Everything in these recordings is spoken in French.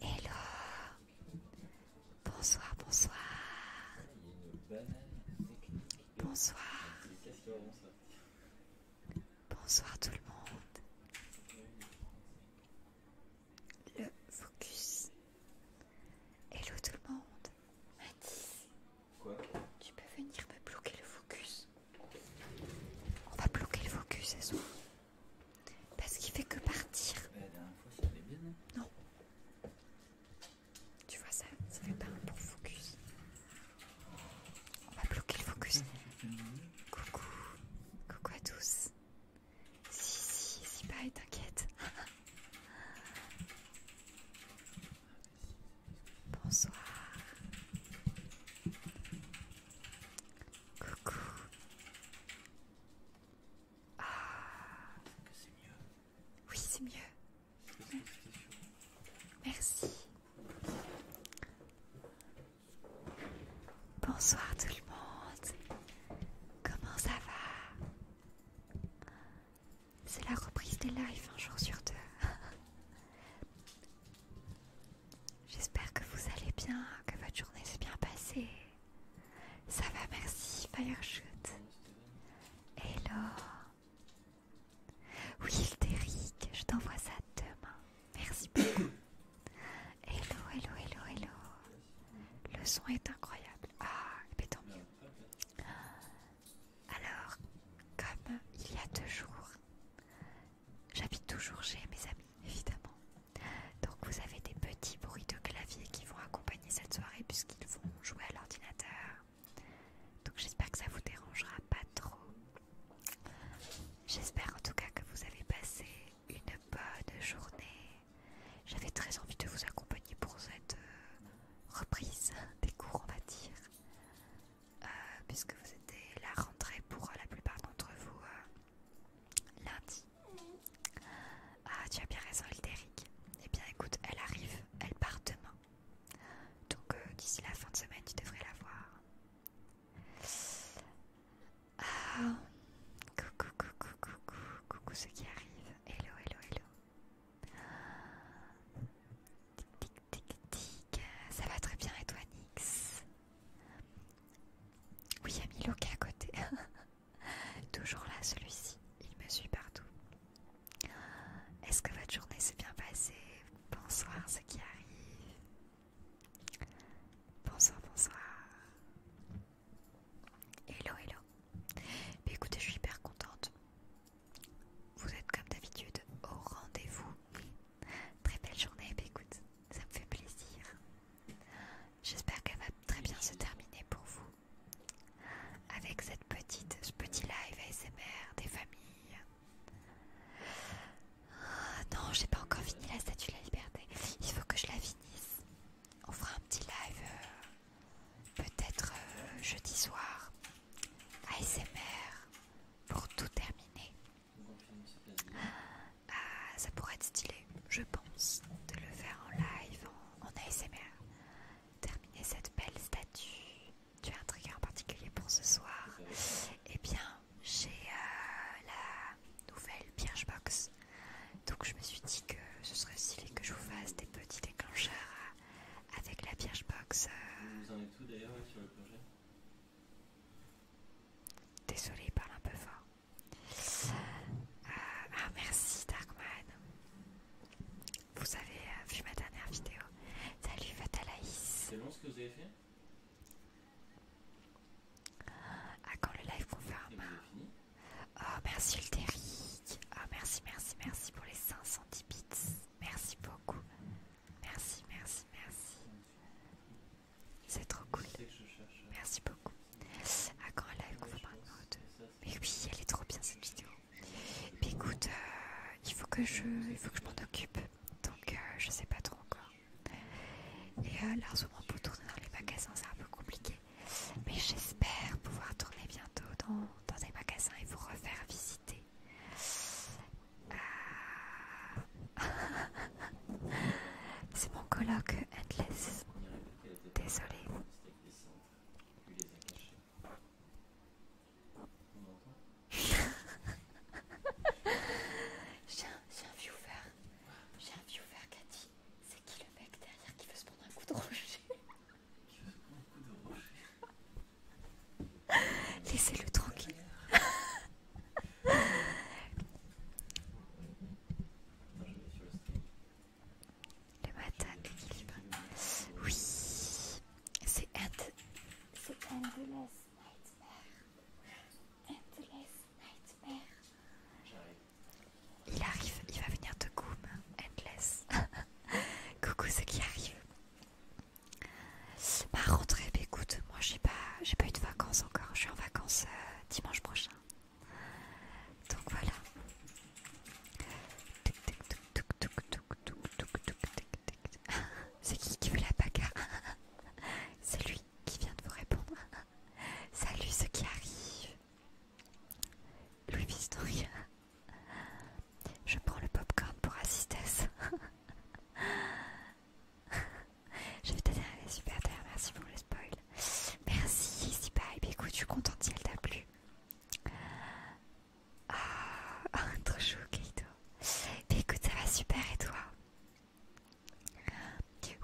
Hello Bonsoir, bonsoir Bonsoir Bonsoir tout le monde Le focus Hello tout le monde Mathis Quoi Tu peux venir me bloquer le focus On va bloquer le focus ce parce qu'il fait que partir. Hein. non Tu vois ça Ça fait pas un bon focus. On va bloquer le focus. Coucou. Coucou à tous. Si, si, si, pas, t'inquiète. Bonsoir. Coucou. Ah. Oui, c'est mieux. Merci. Merci. Bonsoir tout le monde. Comment ça va C'est la reprise des lives un jour sur deux. J'espère que vous allez bien, que votre journée s'est bien passée. Ça va, merci, Fireshoot. Hello. Oui, je t'envoie ça demain. Merci beaucoup. hello, hello, hello, hello. Le son est incroyable. Ah, mais tant mieux. Alors, comme il y a deux jours, J'habite toujours chez mes amis, évidemment. Donc vous avez des petits bruits de clavier qui vont accompagner cette soirée puisqu'ils vont jouer à l'ordinateur. Donc j'espère que ça vous dérangera pas trop. J'espère en tout cas que vous avez passé une bonne journée. J'avais très envie de vous accompagner pour cette euh, reprise des cours, on va dire, euh, puisque vous êtes la rentrée pour la plupart d'entre vous. Euh, Lundi. Ah, tu as bien raison, Elderic. Eh bien, écoute, elle arrive, elle part demain. Donc, euh, d'ici la fin de semaine, tu devrais la voir. Ah, coucou, coucou, coucou, coucou, ceux qui arrivent. Hello, hello, hello. Tic, tic, tic, tic. Ça va très bien, et toi, Nix oui, il y a est à côté. Toujours là, celui-ci. Il me suit partout. Est-ce que votre journée s'est bien passée Bonsoir, ce qui arrive. Bonsoir, bonsoir. Hello, hello. écoutez, je suis hyper contente. Vous êtes comme d'habitude au rendez-vous. Très belle journée, écoute, ça me fait plaisir. J'espère qu'elle va très bien se terminer pour vous. Avec cette petite, ce petit live ASMR des familles. Ah, non, j'ai pas encore fini la statue de la liberté. Il faut que je la finisse. On fera un petit live euh, peut-être euh, jeudi soir. ASMR pour tout terminer. Ah, ça pourrait être stylé, je pense, de le faire en live, en, ASMR. Terminer cette belle statue. Tu as un trigger en particulier pour ce soir Eh bien, j'ai euh, la nouvelle box Donc je me suis dit que ce serait stylé que je vous fasse des petits déclencheurs euh, avec la Birchbox. Euh. Vous Désolé, il parle un peu fort. Ah, ah merci Darkman. Vous avez euh, vu ma dernière vidéo. Salut Fatalaïs. C'est bon ce que vous avez fait Ah quand le live pour confirme. Oh merci Ulteric. Oh merci, merci, merci pour les 510 bits. Merci beaucoup. Merci, merci, merci. C'est trop cool. Merci beaucoup. À live de Mais oui, elle est trop bien cette vidéo. écoute, euh, il faut que je, il faut que je m'en occupe. Donc je euh, je sais pas trop encore. Et euh, là ce pour tourner dans les magasins c'est un peu compliqué. Mais j'espère pouvoir tourner bientôt dans, dans des magasins et vous refaire visiter. C'est mon colloque Endless. Désolé. J'ai un, viewer. J'ai un viewer, dit C'est qui le mec derrière Qui veut se prendre un coup de rocher Laissez-le tranquille. Le matin Oui, c'est C'est Endless Nightmare. Endless Nightmare. Il arrive, il va venir de Goom. Endless. Coucou ce qui arrive Ma bah, rentrée, écoute, moi j'ai pas, j'ai pas eu de vacances encore. Je suis en vacances. Euh, dimanche prochain. Donc voilà. C'est qui qui veut la bagarre C'est lui qui vient de vous répondre. Salut ce qui arrive Louis Vistori. Je prends le popcorn pour assister je vais te dire, super terre, merci pour le spoil. Merci, c'est pareil mais écoute, je suis contente si elle t'a plu. Ah, trop chou, Keito Mais écoute, ça va super et toi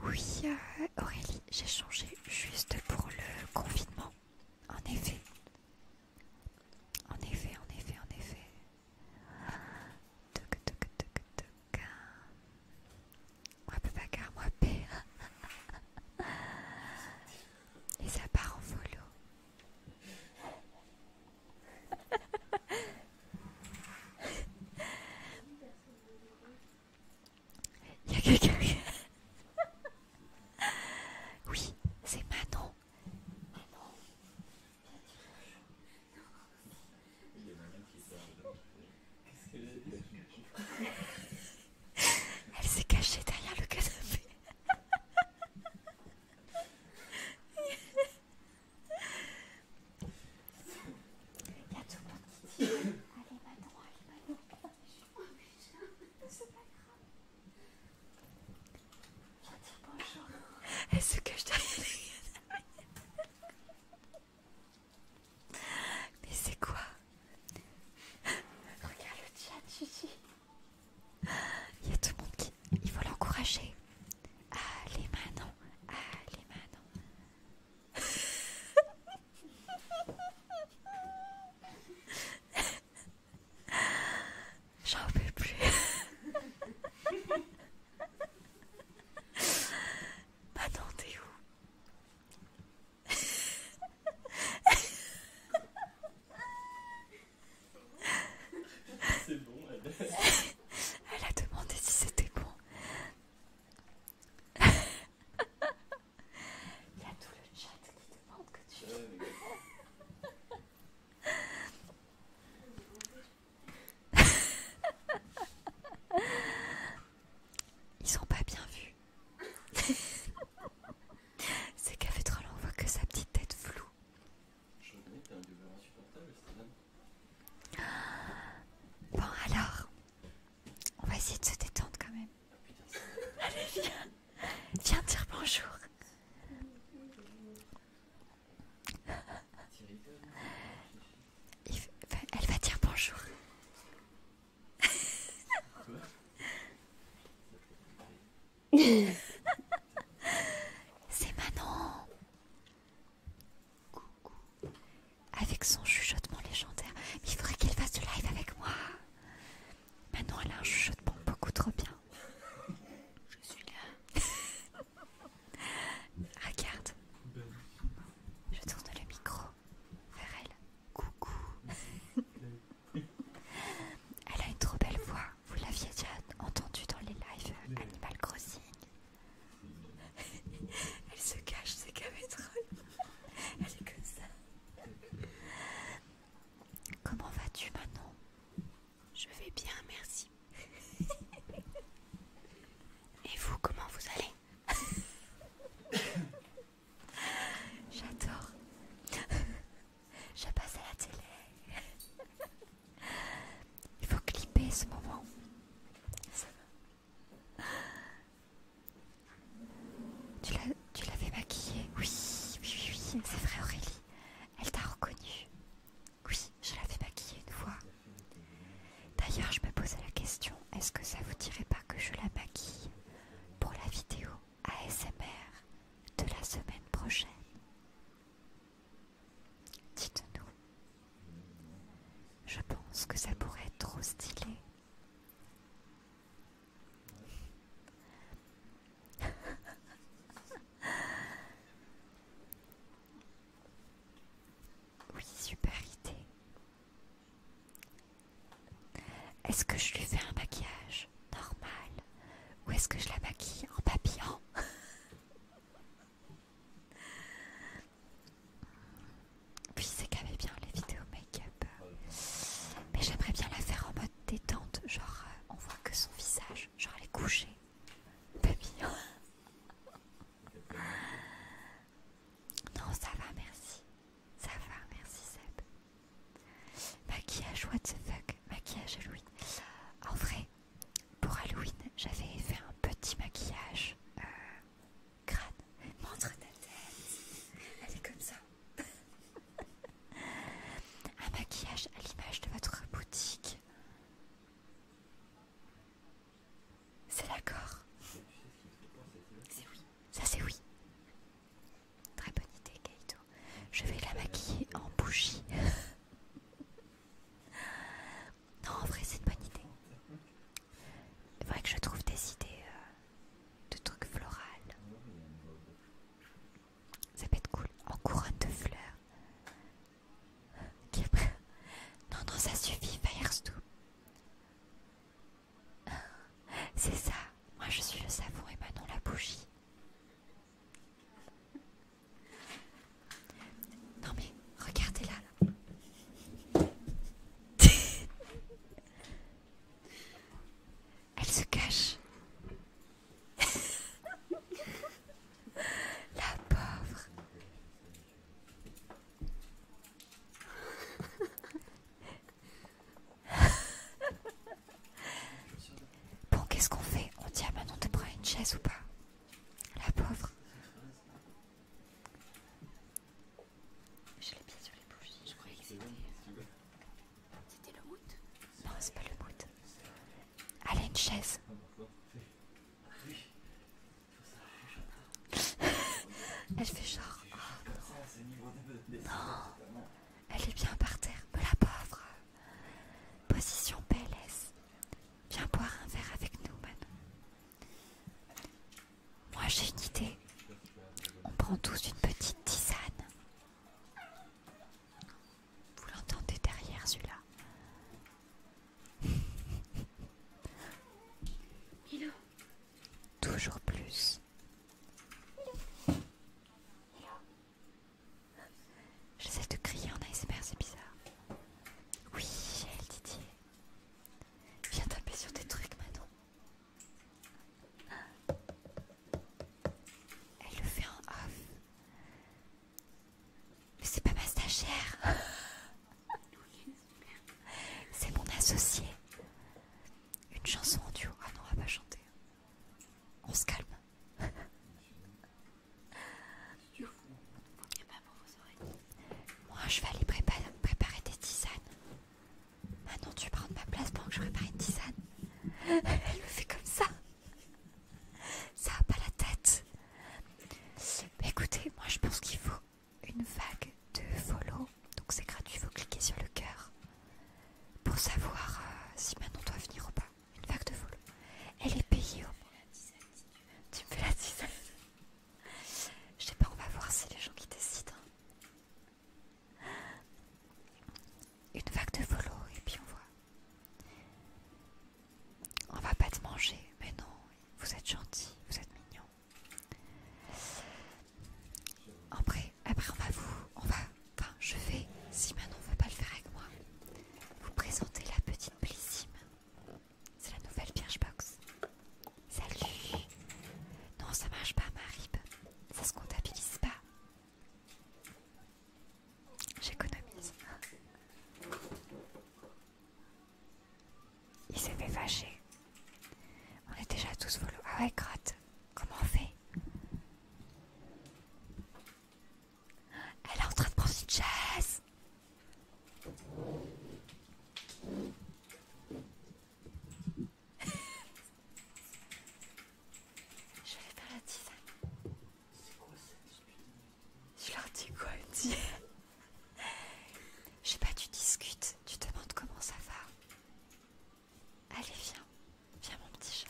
Oui, euh, Aurélie, j'ai changé juste pour le confinement. En effet. En effet, en effet, en effet. Toc, toc, toc, toc. Moi, peu car moi, paix. Et ça part en volo. Il y a quelqu'un qui... Oui, c'est Manon. Manon. Elle s'est cachée derrière le canapé. Il y a tout le monde qui dit Allez, maintenant, allez, maintenant. C'est pas grave. Je vais dire bonjour. Elle se cache derrière le canapé. Mais c'est quoi Regarde le chat, Gigi. Il y a tout le monde qui. Il faut l'encourager. Allez, Manon. Allez, Manon. J'en peux plus attendez t'es où C'est bon, elle... a demandé si c'était bon. Il y a tout le chat qui demande que tu... Ils ont pas bien vu. C'est trop long, on voit que sa petite tête floue. Je reconnais un insupportable, Bon, alors, on va essayer de se détendre quand même. Allez, viens. Viens dire bonjour elle va dire bonjour. C'est Manon. Coucou. Avec son chuchotement légendaire. il faudrait qu'elle fasse du live avec moi. Manon, elle a un chuchotement beaucoup trop bien. Je suis là. Regarde. Je tourne le micro vers elle. Coucou. elle a une trop belle voix. Vous l'aviez déjà entendue dans les lives Animal Crossing. elle se cache, c'est qu'elle Elle est comme ça. Comment vas-tu maintenant Je vais bien, merci. Et vous, comment vous allez J'adore. Je passe à la télé. Il faut clipper ce moment. Tu l'avais maquillée Oui, oui, oui, oui. c'est vrai Aurélie. Elle t'a reconnue. Oui, je l'avais maquillée une fois. D'ailleurs, je me posais la question, est-ce que ça vous dirait pas que je la maquille pour la vidéo ASMR de la semaine prochaine Dites-nous. Je pense que ça pourrait être trop stylé. Oui, super idée. Est-ce que je lui fais un maquillage normal ou est-ce que je la maquille en papillon Puis c'est quand même bien les vidéos make-up. Mais j'aimerais bien la faire en mode détente, genre euh, on voit que son visage, genre elle est couchée. Papillon. Non, ça va, merci. Ça va, merci Seb. Maquillage, what the fuck Maquillage Halloween. En vrai, pour Halloween, j'avais fait un petit maquillage euh, crâne. Montre ta tête. Elle est comme ça. un maquillage à l'image de votre boutique. C'est d'accord. C'est oui. Ça c'est oui. Très bonne idée, Keito Je vais la maquiller en bougie. non, en vrai, c'est une bonne idée. Il faudrait que je trouve des idées euh, de trucs florales. Ça peut être cool. En couronne de fleurs. Non, non, ça suffit, tout? C'est ça, moi je suis le savon et Manon la bougie. Non mais regardez la Elle se cache. la pauvre. Bon, qu'est-ce qu'on fait On dit à de prendre une chaise ou pas La pauvre. Je l'ai mis sur les bouches, Je croyais que c'était. C'était le mood Non, c'est pas le Elle Allez, une chaise. Ah, Elle fait genre. Oh, non. Elle est bien par terre, me la pauvre. Position PLS. Viens boire un verre avec nous, Manon. Moi j'ai une idée. On prend tous une petite tisane. Vous l'entendez derrière celui-là. Milo. Toujours plus. J'essaie de crier en ASMR, c'est bizarre. Oui, elle Didier. Viens taper sur tes trucs, maintenant. Elle le fait en off. Mais c'est pas ma stagiaire C'est mon associé. Une chanson en duo. Ah non, on va pas chanter. On se calme. Moi, je vais aller préparer des tisanes. Maintenant, ah tu prends ma place pendant que je prépare une tisane. Elle me fait comme ça. Ça a pas la tête. Écoutez, moi, je pense qu'il faut une vague de volo, donc c'est gratuit, vous cliquez sur le cœur pour savoir euh, si si on doit venir ou pas. Une vague de volo, Elle est payée au moins. Tu me fais la Je sais pas, on va voir si les gens qui décident. Hein. Une vague de volo, et puis on voit. On va pas te manger, mais non, vous êtes gentil, vous êtes mignon. Après, après on va vous, on va, enfin je vais, si Manon ne veut pas le faire avec moi, vous présenter la petite Blissime. C'est la nouvelle Birchbox. Salut Non, ça marche pas Marib, ça se comptabilise pas. J'économise. Il s'est fait fâcher. On est déjà tous volés. Ah ouais, crotte, comment on fait Elle est en train de prendre une chaise. Je vais faire la tisane. Je leur dis quoi, une dit je sais pas, tu discutes, tu te demandes comment ça va. Allez, viens, viens mon petit chat.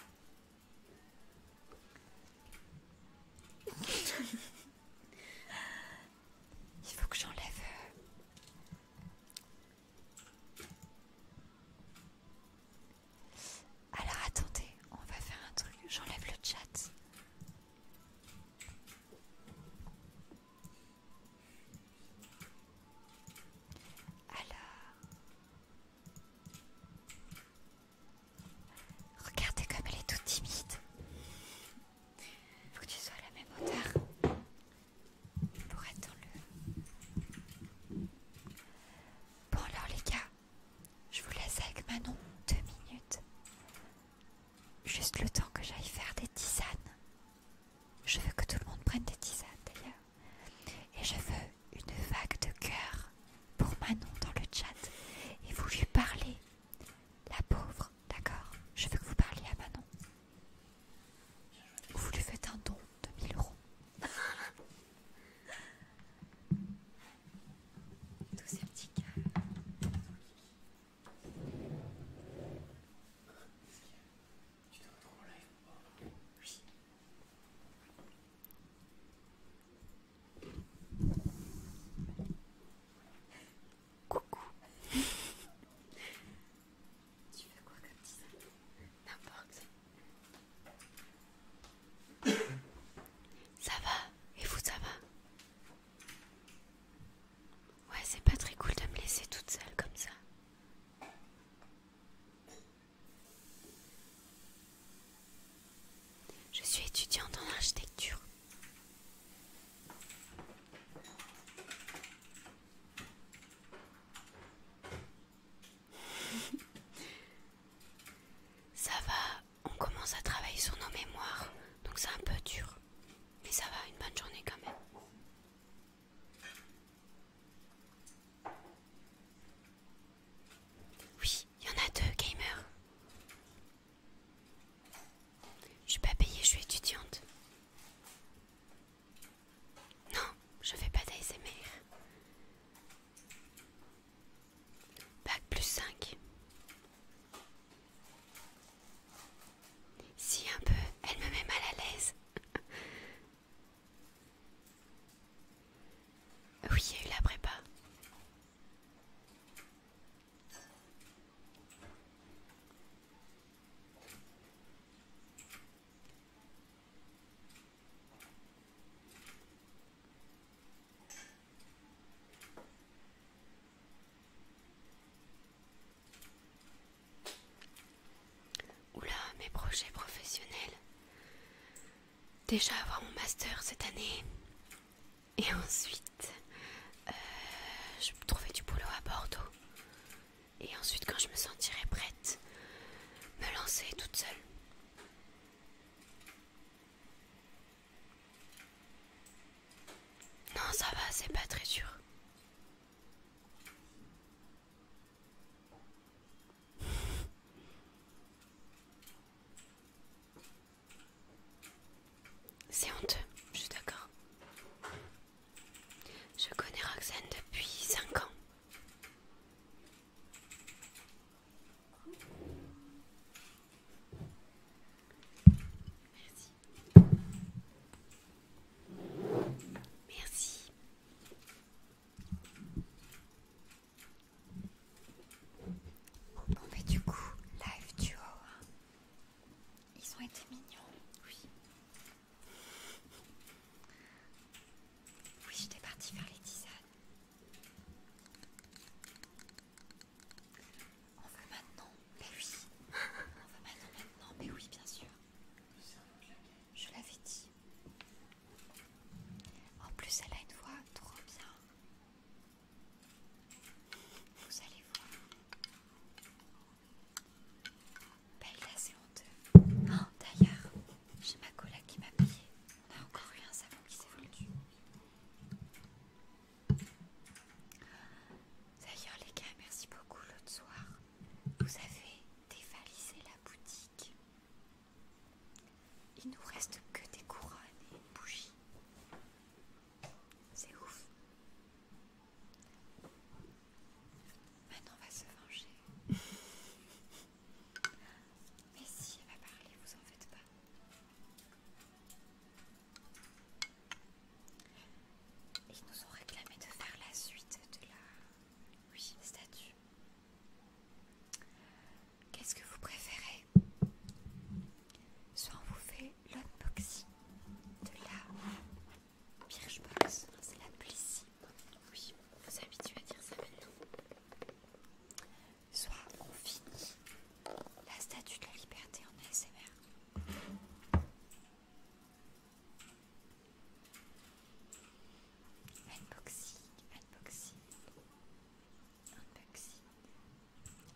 Il faut que j'enlève... Euh, Alors attendez, on va faire un truc, j'enlève le chat. Alors... Regardez comme elle est toute timide. Faut que tu sois à la même hauteur pour être le... Bon alors les gars, je vous laisse avec Manon deux minutes. Juste le temps que j'aille faire des tisanes. Je veux que tout le monde prenne des tisanes d'ailleurs. Et je veux une vague de cœur pour Manon dans le chat. Et vous lui parlez. La pauvre, d'accord Je veux que vous parliez à Manon. Vous lui faites un don de 1000 euros. Tous petits tu live Oui. Coucou. tu fais quoi comme ça N'importe. Ça va Et vous, ça va Ouais, c'est pas très cool de me laisser toute seule comme ça. Je suis étudiante en architecture. Ça va, on commence à travailler sur nos mémoires, donc c'est un peu dur. Mais ça va, une bonne journée quand même. Oui, il y en a deux, gamer. Je suis pas payée, je suis étudiante. Non, je fais pas d'ASMR. Bac plus 5. Si un peu, elle me met mal à l'aise. oui, il y a eu la prépa. Oula, mes projets professionnels. Déjà avoir mon master cette année. Et ensuite, euh, je trouverai du boulot à Bordeaux. Et ensuite, quand je me sentirais prête, me lancer toute seule. Non, ça va, c'est pas très sûr. C'est honteux, je suis d'accord. Je connais Roxane depuis cinq ans. Merci. Merci. Bon, mais bah, du coup, live duo, haut, hein. ils ont été mignons, oui. Oui, j'étais partie faire les tisanes. On veut maintenant, mais oui. On veut maintenant, maintenant, mais oui, bien sûr. Je l'avais dit. En plus, elle a une voix trop bien. Vous allez voir. Belle là, c'est honteux. Oh, d'ailleurs, j'ai ma collègue qui m'a payé. On a encore eu un savon qui s'est vendu. D'ailleurs les gars, merci beaucoup l'autre soir. Vous avez dévalisé la boutique. Il nous reste que des couronnes et une bougie. C'est ouf. Maintenant on va se venger. Mais si elle va parler, vous en faites pas. Ils nous ont réclamé de faire la suite de la oui, statue. Qu'est-ce que vous préférez Soit on vous fait l'unboxing de la Birchbox, c'est la simple. Oui, on vous habitue à dire ça maintenant. Soit on finit la statue de la liberté en ASMR. Unboxing, unboxing, unboxing.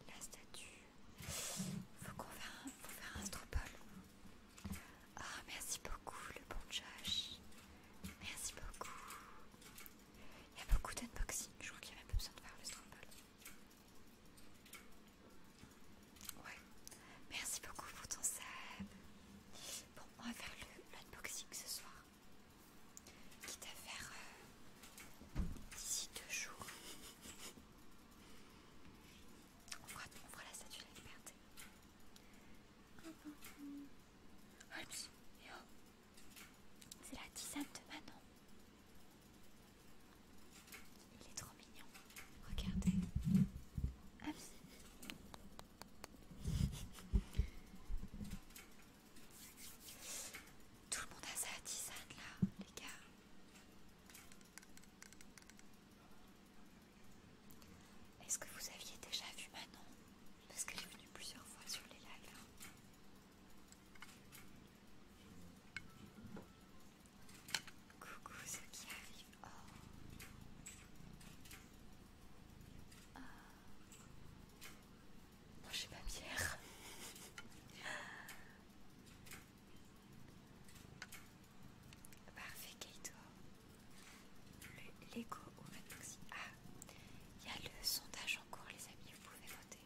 La statue. Faut qu'on faire, un stropole. oh, ah, merci beaucoup, le bon Josh. Merci beaucoup. Il y a beaucoup d'unboxing. Je crois qu'il y a même pas besoin de faire le stropole. Ouais. Merci beaucoup pour ton sub. Bon, on va faire l'unboxing ce soir. Quitte à faire euh, d'ici deux jours. On fera, on la statue de la liberté. Oh. C'est la tisane de maintenant. Il est trop mignon. Regardez. Ah Tout le monde a sa tisane là, les gars. Est-ce que vous aviez déjà vu Manon Parce qu'elle est venue plusieurs fois sur les lives. Hein. Coucou ceux qui arrivent. Ah. Oh. Oh. j'ai pas Pierre. Parfait, Keito, Le Lego au Maxi. Ah, il y a le sondage en cours, les amis, vous pouvez voter.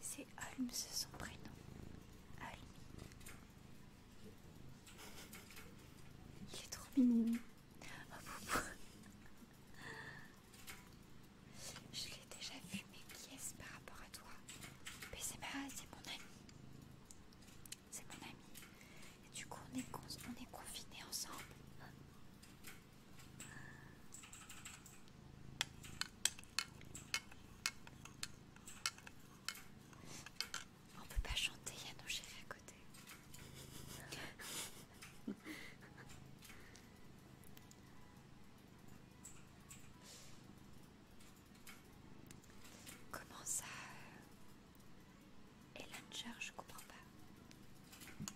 C'est Holmes son prénom. Holmes. Il est trop mignon. Oh, Je l'ai déjà vu, mais qui est-ce par rapport à toi Mais c'est mon ami. C'est mon ami. Et du coup, on est, on est confinés ensemble. On peut pas chanter, il y a nos chéris à côté. Comment ça et la charge je comprends pas.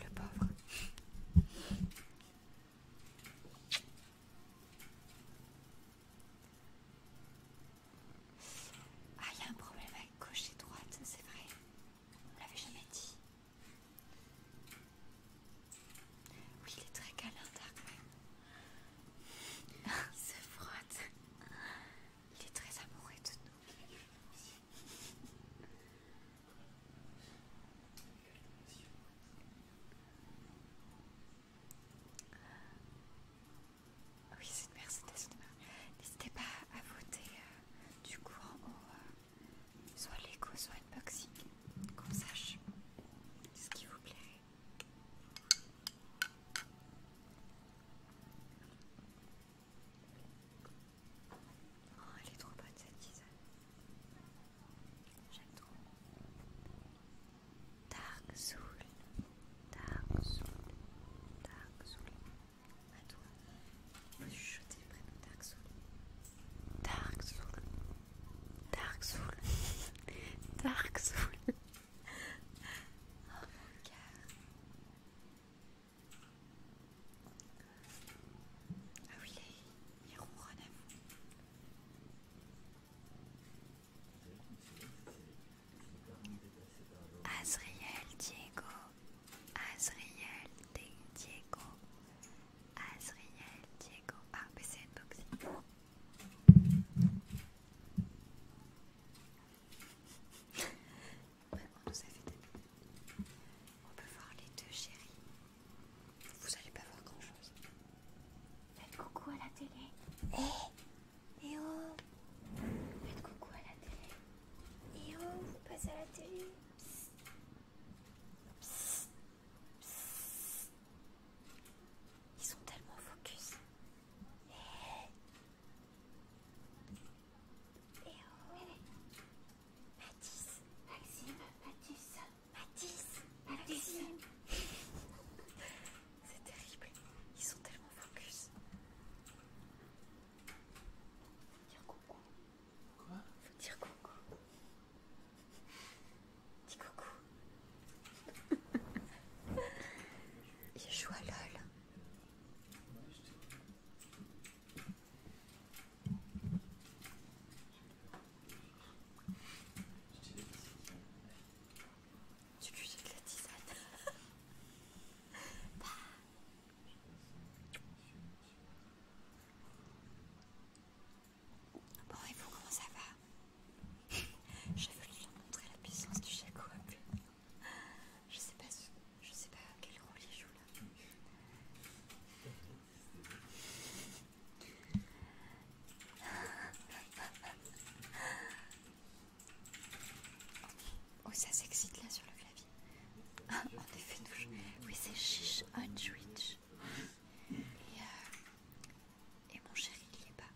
Le pauvre. Ah, il y a un problème avec gauche et droite, c'est vrai. On l'avait jamais dit. Oui, il est très câlin, même. Il se frotte. Il est très amoureux de nous. Oui, c'est une Mercedes. N'hésitez pas à voter euh, du coup en haut, euh, soit l'écho, soit unboxing, qu'on sache ce qui vous plairait. Oh, elle est trop bonne cette tisane. J'aime trop. Dark Soul. Dark Soul. Dark Soul. À toi. Faut chuchoter le prénom Dark Soul. Dark Soul. Dark Soul. Dark Soul. oh mon cœur. Ah oui, les, les vous. Azriel Diego, Azriel Diego, Azriel Diego. Ah, mais c'est une box on peut voir les deux chéris. Vous allez pas voir grand chose. Faites coucou à la télé. Eh oh Faites coucou à la télé. Eh oh, vous passez à la télé. Psst. Psst. Psst. Ils sont tellement focus. Eh Eh oh Mathis, Maxime, Mathis, Mathis, Maxime. C'est terrible. Ils sont tellement focus. Faut dire coucou. Quoi Faut dire coucou. Dis coucou. Il joue à LOL. Tu cuis de la tisane. Bah. Bon, et vous, comment ça va J'ai voulu lui montrer la puissance du Jacob. Je sais pas si. Je sais pas quel rôle il joue là. Oh, ça s'excite là sur le clavier. en effet, nous Oui, c'est Chiche on Et, euh, et mon chéri, il est pas.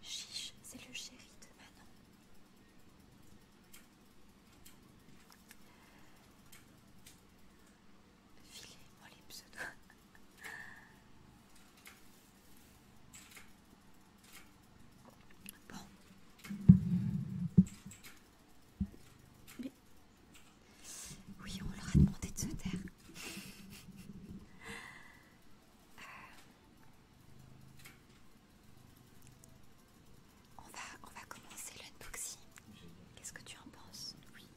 Chiche, c'est le chéri de Manon. Filez-moi les pseudo. Bon. Oui, on leur a demandé de se taire. Euh. On va, on va commencer l'unboxing. Qu'est-ce que tu en penses Oui.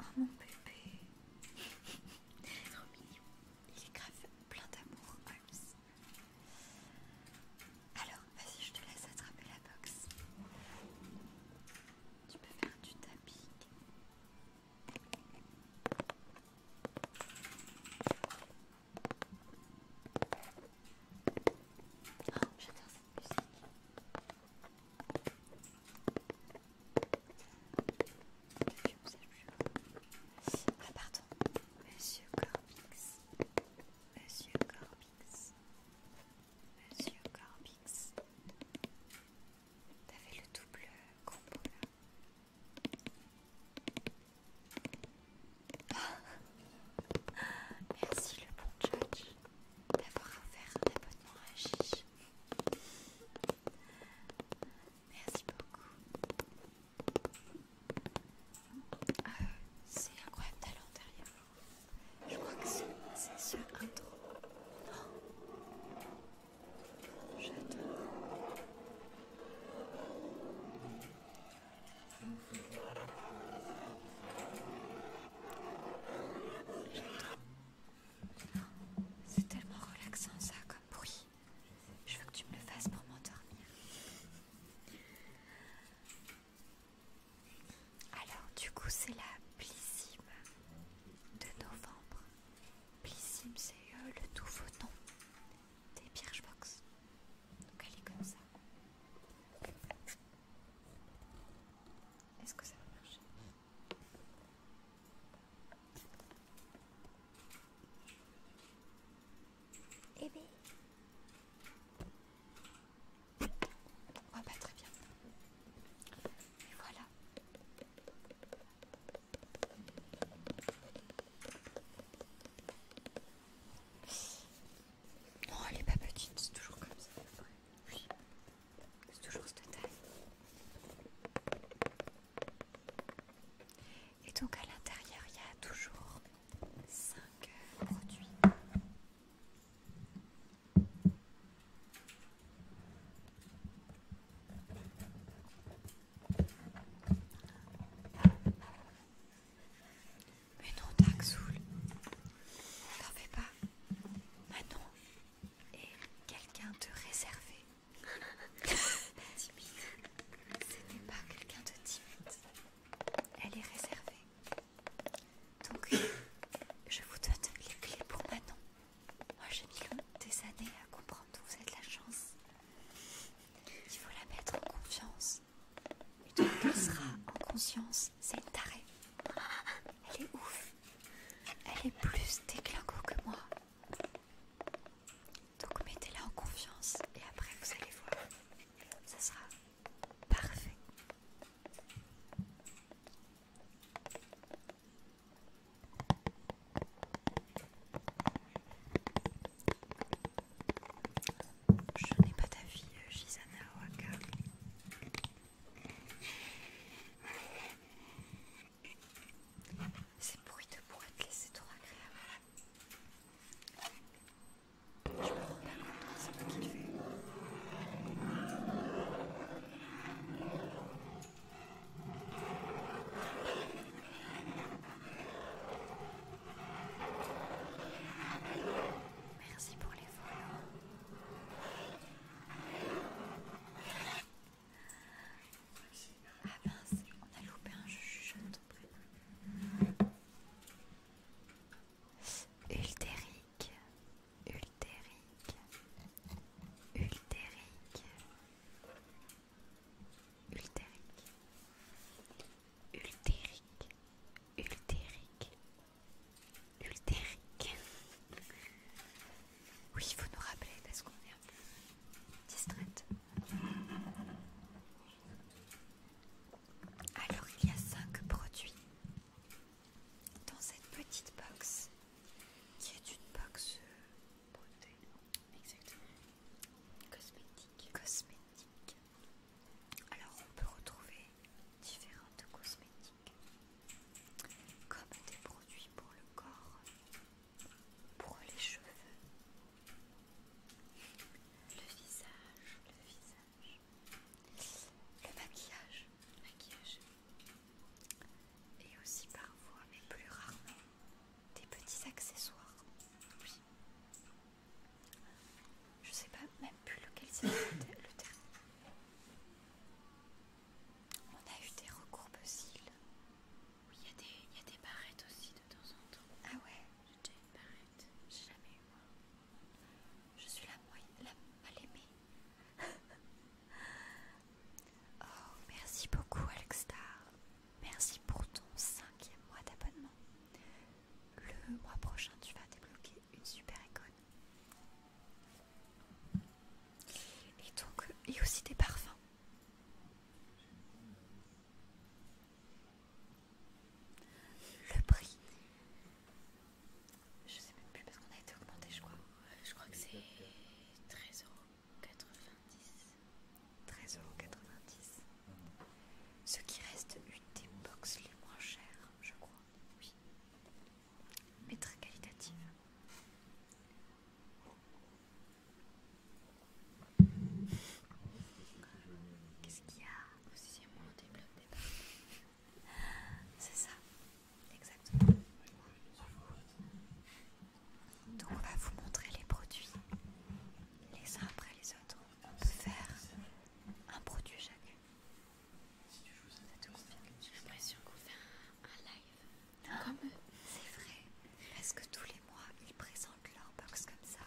Oh mon bébé. Trop mignon. Il est grave plein d'amour, Alors, vas-y, je te laisse attraper la box. Tu peux faire du tapis. Oh, j'adore cette musique. Ah pardon, Monsieur Corbix, Monsieur Corbix, Monsieur Corbix. T'avais le double combo là. Merci le bon judge d'avoir offert un abonnement à Merci beaucoup. Euh, c'est incroyable d'aller derrière Je crois que c'est ce intro. Oh. J'adore. C'est tellement relaxant ça comme bruit. Je veux que tu me le fasses pour m'endormir. Alors du coup c'est la Blissime de novembre. Plissime c'est euh, le nouveau nom des Birchbox. Donc elle est comme ça. Est-ce que ça va marcher Eh bien. Oh, bah très bien. Et voilà. Non, elle est pas petite, c'est toujours comme ça. Oui, c'est toujours cette taille. Et donc à l'intérieur, il y a toujours 5 euh, produits. Mais non, Dark Soul, fais pas. Manon est quelqu'un de réservé. timide. n'est pas quelqu'un de timide. Elle est réservée. Donc, je vous donne les clés pour Manon. Moi, j'ai mis des années à comprendre où vous êtes la chance il faut la mettre en confiance. Et donc elle en conscience. C'est une tarée. Elle est ouf. Elle est plus déglingo que moi. Donc mettez-la en confiance et après vous allez voir. Ça sera parfait. Je n'ai pas d'avis, euh, Gisana Shizana Oaka. Ces bruits de boîte, c'est trop agréable. Je me rends pas compte de ce qu'il fait. Merci pour les vols. Ah ben, on a loupé un jeu, je Ultérique, ultérique, ultérique, Ultérique. Ultérique. Ultérique. Ultérique. Oui, il faut nous rappeler parce qu'on est un peu distraite. Alors, il y a 5 produits dans cette petite box qui est une box beauté. Exactement. Cosmétiques cosmétiques Alors on peut retrouver différentes cosmétiques comme des produits pour le corps, pour les cheveux, le visage, le visage, le maquillage, et aussi parfois, mais plus rarement, des petits accessoires. Je sais pas même plus lequel c'est le terme. On a eu des recours cils. Oui, il y, a des barrettes aussi de temps en temps. Ah ouais J'ai déjà une barrette. J'ai jamais eu moi. Je suis la, la mal aimée. oh, merci beaucoup Alex Merci pour ton cinquième mois d'abonnement. Le mois prochain, tu vas débloquer une super icône. Et donc, a aussi des parfums. Le prix. Je sais même plus parce qu'on a été augmenté, je crois. Je crois que c'est euros. 13,90€. Ce qui reste une des box les moins chères, je crois. Oui. Mais très qualitative. Qu'est-ce qu'il y a aussi C'est ça, exactement. Donc on va vous montrer les produits les uns après les autres peut faire un produit chacune. J'ai l'impression qu'on fait un, live comme C'est vrai, parce que tous les mois ils présentent leur box comme ça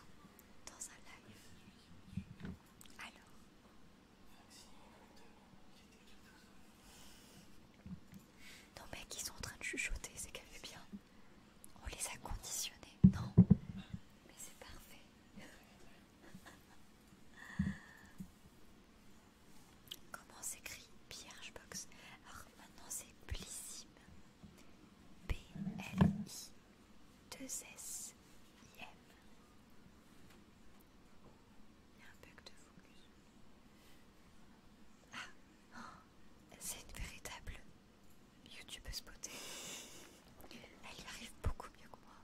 dans un live. Alors, non, mec, ils sont en train de chuchoter, c'est qu'elle fait bien. On les a conditionnés, non Mais c'est parfait. Comment s'écrit Box? Alors maintenant c'est Blissim. B-L-I-2-S-I-M. Il y a un bug de focus. Ah, oh, c'est une véritable YouTube est Elle y arrive beaucoup mieux que moi.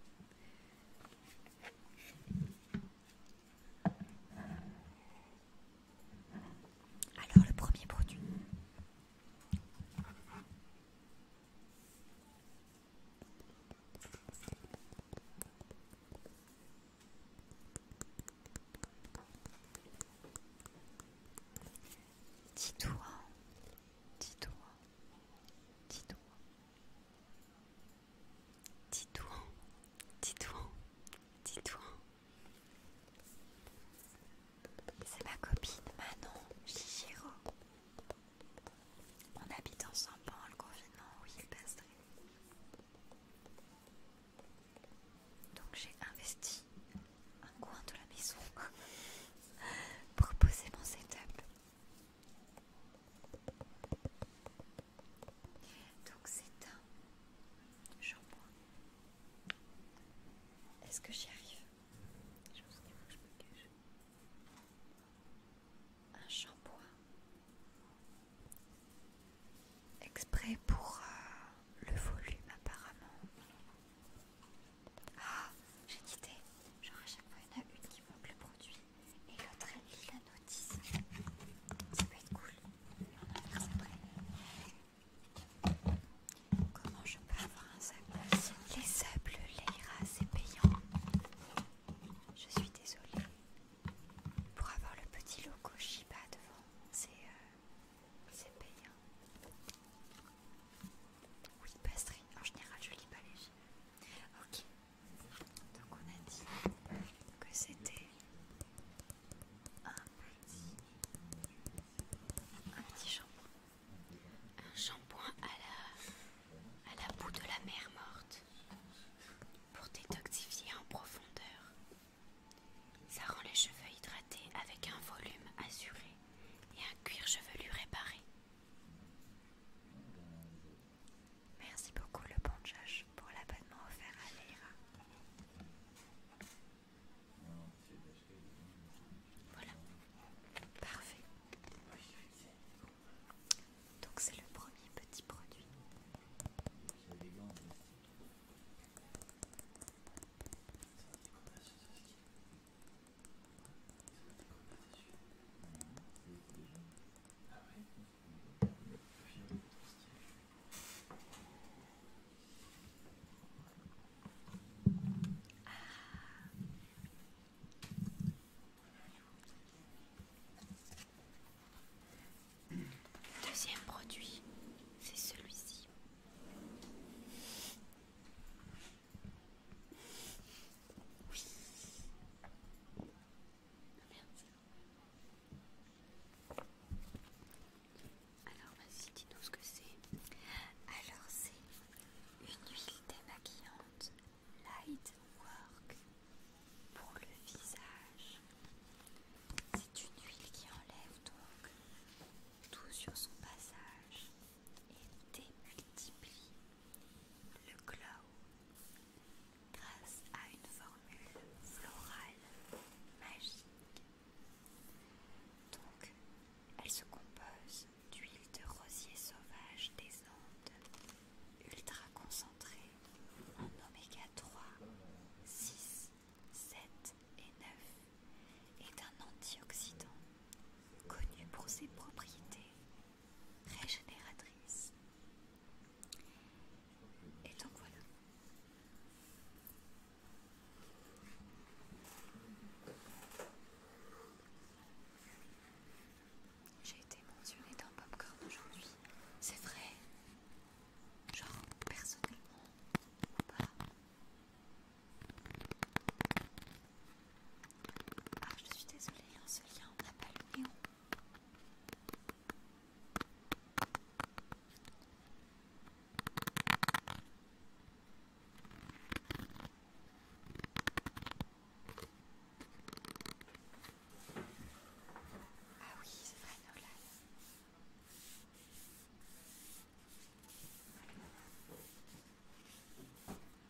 Alors le premier produit. Dis-toi, dis-toi, dis-toi, dis-toi, dis-toi, dis-toi. C'est ma copine Manon Chichiro. On habite ensemble pendant le confinement oui il passerait. Donc j'ai investi un coin de la maison pour poser mon setup. Donc c'est un shampoing. Est-ce que j'y arrive je Un shampoing exprès pour euh, le volume apparemment. Ah, j'ai quitté. J'aurai à chaque fois, une qui manque le produit et l'autre est lit la notice. Ça peut être cool. Comment je peux avoir un sac Les sables, rats, c'est payant. Je suis désolée. Pour avoir le petit logo Shiba devant, c'est euh, c'est payant. Oui, pastry. En général, je lis pas les films. Ok. Donc, on a dit que c'était un petit, un petit shampoing. Un shampoing à la, à la boue de la mer morte pour détoxifier en profondeur. Ça rend les cheveux hydratés avec un volume assuré et un cuir je veux lui réparer. Merci beaucoup le bon Josh pour l'abonnement offert à Leira. Voilà, parfait. Donc c'est le premier petit produit. Deuxième produit, c'est celui-ci. Oui. Alors vas-y, dis-nous ce que c'est. Alors c'est une huile démaquillante Light Work pour le visage. C'est une huile qui enlève donc tout sur son passage et démultiplie le glow grâce à une formule florale magique. Donc, elle se compose d'huile de rosier sauvage des Andes, ultra concentrée en oméga 3, 6, 7 et 9 est un antioxydant connu pour ses propriétés régénératrices. Et donc voilà. J'ai été mentionnée dans Popcorn aujourd'hui. C'est vrai. Genre, personnellement, pas ah, je suis désolée, hein, ce lien, on n'a pas le Ah oui, c'est vrai, Nolan.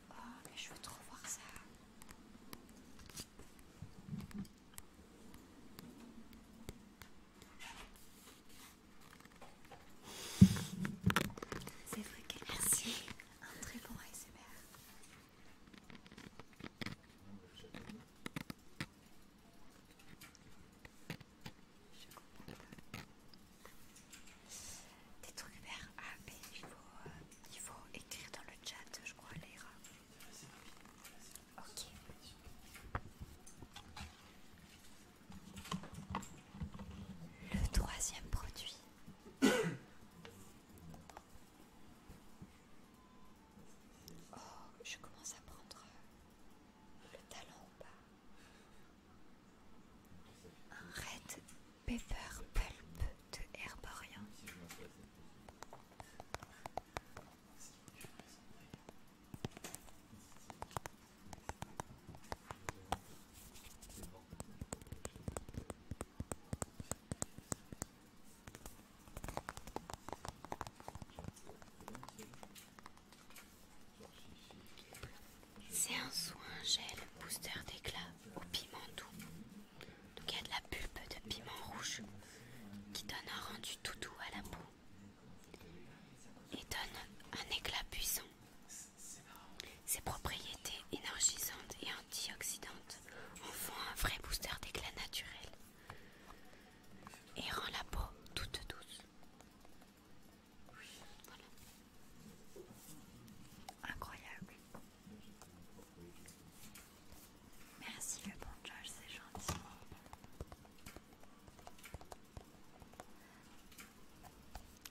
Oh, mais je veux trop voir ça. C'est vrai qu'elle merci. Un très bon ASMR. Je Des trucs vers Ah, il faut, écrire dans le chat, je crois, Léra. Ok. Le troisième produit. oh, je commence à prendre euh, le talent ou pas un red pepper pulp de herborien. C'est un soin gel booster d'éclat au piment doux. Donc il y a de la pulpe de piment rouge qui donne un rendu tout doux à la peau et donne un éclat puissant. Ses propriétés énergisantes et antioxydantes en font un vrai booster d'éclat naturel et rend la peau toute douce. Oui, voilà. Incroyable. Merci le bon Josh, c'est gentil.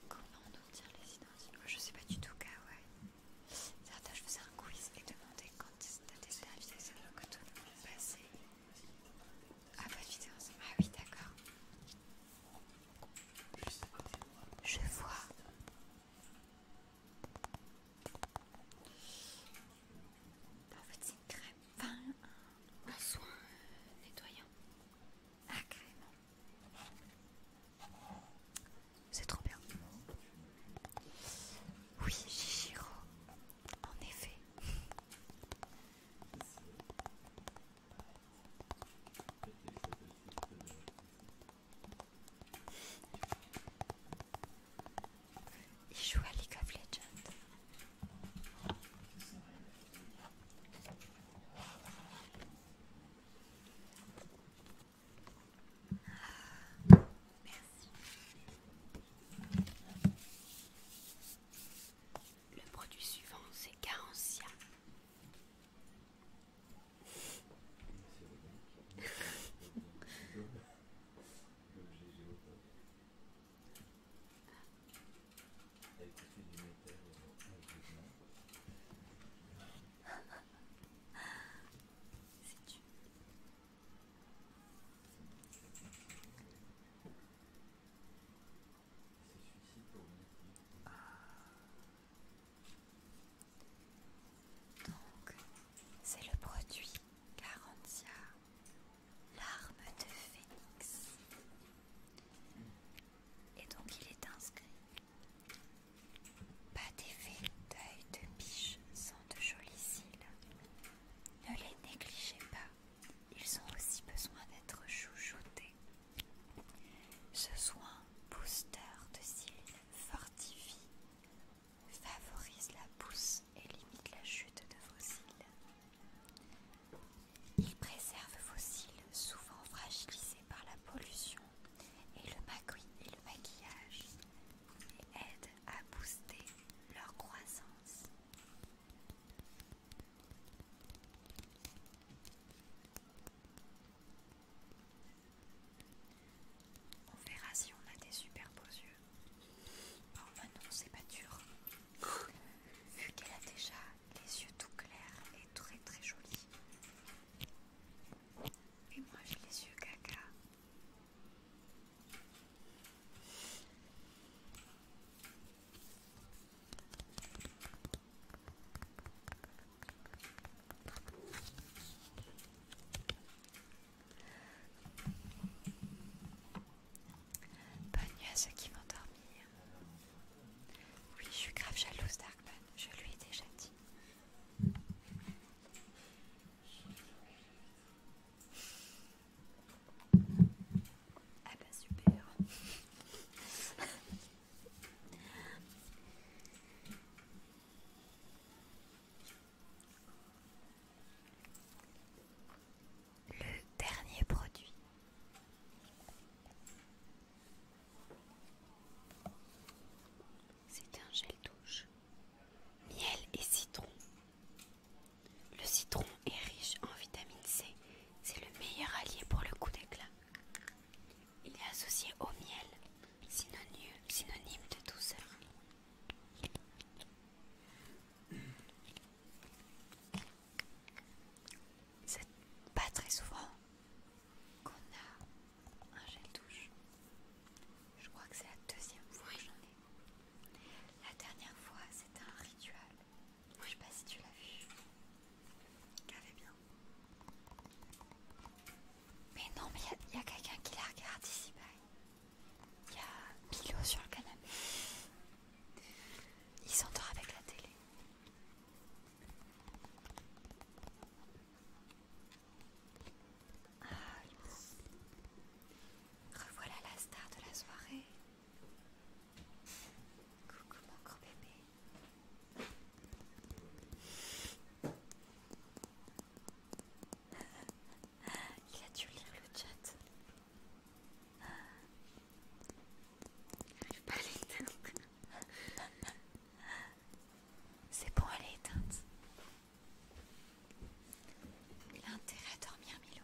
Comment on dire les identités oh, Je sais pas du tout, K, Certains, je faisais un quiz et demandais quand t'as des sur c'est que tout le monde passait. Ah, pas de vidéo, ah oui, d'accord. Je vois. En fait, c'est une crème. Enfin, un soin nettoyant. Ah, crème. C'est trop bien. Oui, Chichiro. En effet. Il joue à League of Legends. Le produit suivant, c'est Garantia. C'est ah. Donc, c'est le produit Garantia, l'arme de Phénix. Et donc il est inscrit. Pas d'effet d'œil de biche sans de jolis cils. Ne les négligez pas ils ont aussi besoin d'être chouchoutés. Ce soin booster de cils fortifie, favorise la pousse et limite la chute de vos cils. Il préserve vos cils souvent fragilisés par la pollution et le, et le maquillage et aide à booster leur croissance. On verra si on a des super beaux yeux. Oh bah non, c'est pas dur. Vu qu'elle a déjà les yeux tout clairs et très très jolis. Et moi j'ai les yeux caca. Bonne nuit à ceux qui vont dormir. Oui, je suis grave jalouse d'Arkman, je lui ai déjà dit. Ah bah super Le dernier produit. C'est un gel douche. Miel et citron. Le citron est riche en vitamine C. C'est le meilleur allié pour le coup d'éclat. Il est associé au miel, synonyme, de douceur. C'est pas très souvent qu'on a un gel douche. Je crois que c'est la deuxième fois que j'en ai. La dernière fois, c'était un rituel je sais pas si tu l'as vu. avait bien. Mais non, mais il y a, quelqu'un qui la regarde ici. Il y a Milo sur le canapé. Il s'endort avec la télé. Ah, revoilà la star de la soirée. Coucou mon gros bébé. Il a dû lire le chat. Il n'arrive pas à l'éteindre. C'est bon, elle est éteinte. Il a intérêt à dormir, Milo.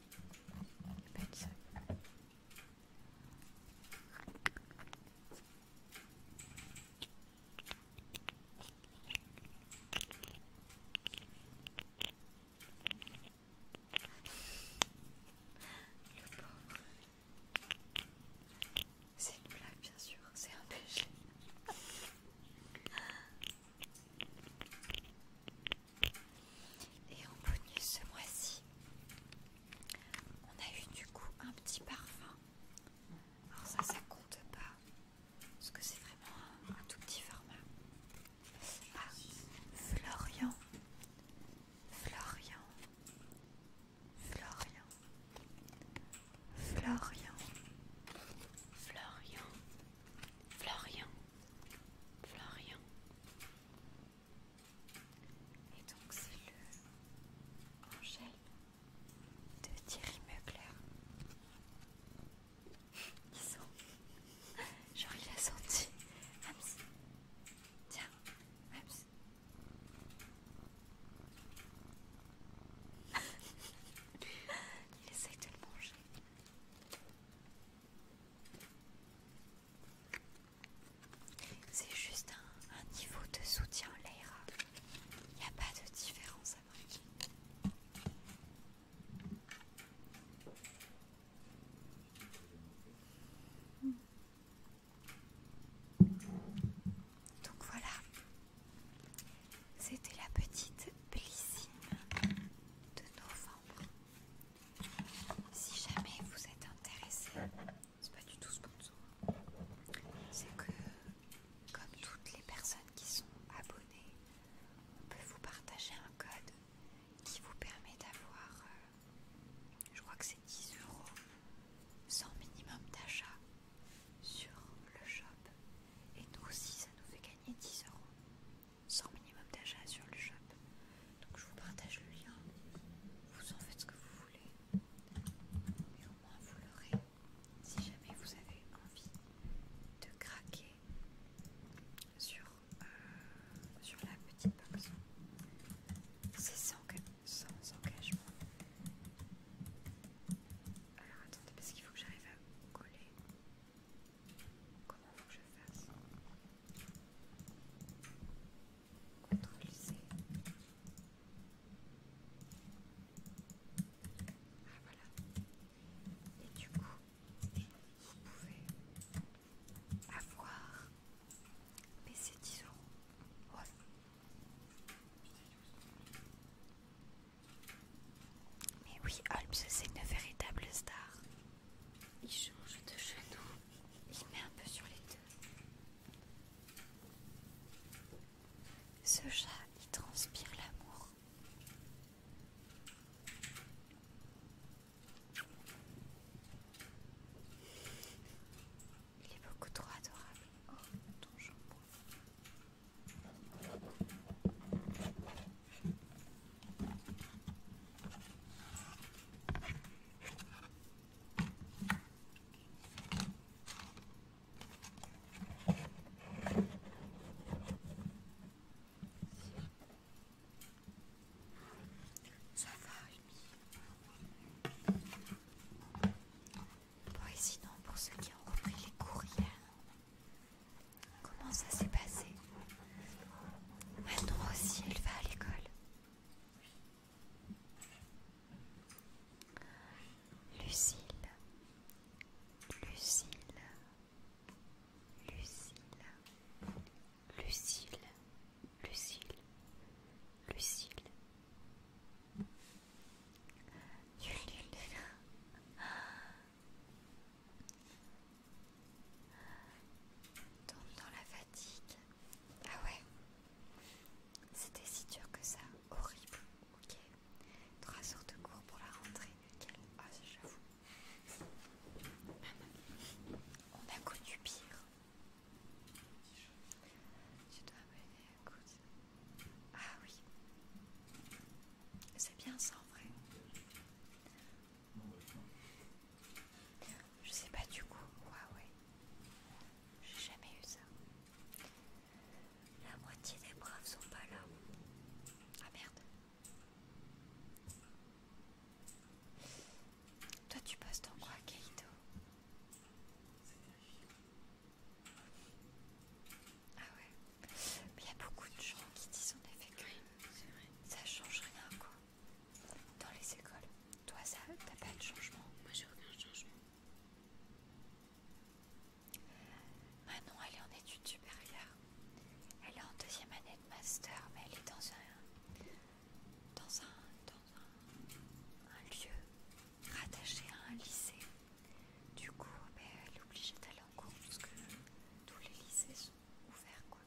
Le pauvre. C'est une blague, bien sûr, c'est un péché. Et en bonus ce mois-ci, on a eu du coup un petit parfum. Alors ça, ça compte pas, parce que c'est vraiment un, tout petit format. Ah, Florian, Florian, Florian, Florian, Florian, Florian, Florian, et donc c'est le Angèle de Thierry Mugler. Ils sont... Genre il a senti... Tiens, il de le manger. C'est juste un, niveau de soutien l'air Il n'y a pas de différence à Donc voilà, c'était la petite bellissime de novembre. Si jamais vous êtes intéressé, c'est pas du tout sponsor, c'est que comme toutes les personnes qui sont abonnées, on peut vous partager un code qui vous permet d'avoir, euh, je crois que c'est 10 euros sans minimum d'achat sur le shop. Et nous aussi, ça nous fait gagner 10 euros sans minimum d'achat sur le shop. Donc je vous partage le lien, vous en faites ce que vous voulez, mais au moins vous l'aurez si jamais vous avez envie de craquer sur, euh, sur la petite box. C'est sans, sans engagement. Alors attendez parce qu'il faut que j'arrive à coller. Comment faut que faire fasse Ctrl Ah voilà. Et du coup, vous pouvez avoir baissé 10 euros. Ouais. Mais oui, Holmes, c'est une véritable star. Il change de genou. Il met un peu sur les deux. Ce chat, il transpire l'amour. Il est beaucoup trop adorable. Oh, ton jambon. Ça va, Bon, sinon, pour ceux qui ont repris les courriels Comment ça s'est passé Maintenant aussi, elle va à l'école. Lucille, Lucille, Lucille, Lucille, Lucille, Lucille. Tombe dans la fatigue. Ah ouais C'était si dur que ça. Horrible. Ok. Trois sortes de cours pour la rentrée. Ah, j'avoue. On a connu pire. Tu dois m'aider à Ah oui. C'est bien ça en vrai. Je sais pas du coup, ouais. J'ai jamais eu ça. La moitié des braves sont pas là. Ah merde. Toi tu postes en quoi, Kaito Ah ouais. Mais il y a beaucoup de gens qui disent en effet que ça change rien quoi dans les écoles. Toi, ça, t'as pas de changement Moi, j'ai aucun changement. Manon, elle est en études supérieures. Elle est en deuxième année de master, mais elle est dans un, dans un, un, lieu rattaché à un lycée. Du coup, ben, elle est obligée d'aller en cours parce que tous les lycées sont ouverts. Quoi.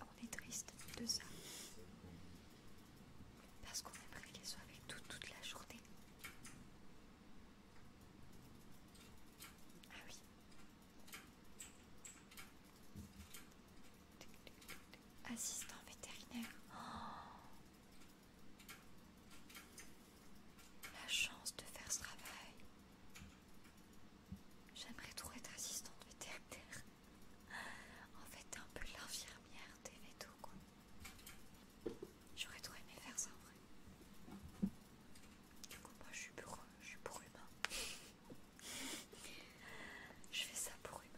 On est triste de ça. Parce qu'on aimerait qu'elle soit avec toute la journée. Ah oui. Assistant vétérinaire. Oh la chance de faire ce travail. J'aimerais trop être assistante vétérinaire. En fait, un peu l'infirmière des vétos, quoi. J'aurais trop aimé faire ça en vrai. Du coup, moi je suis pour, je suis pour humain. je fais ça pour humain.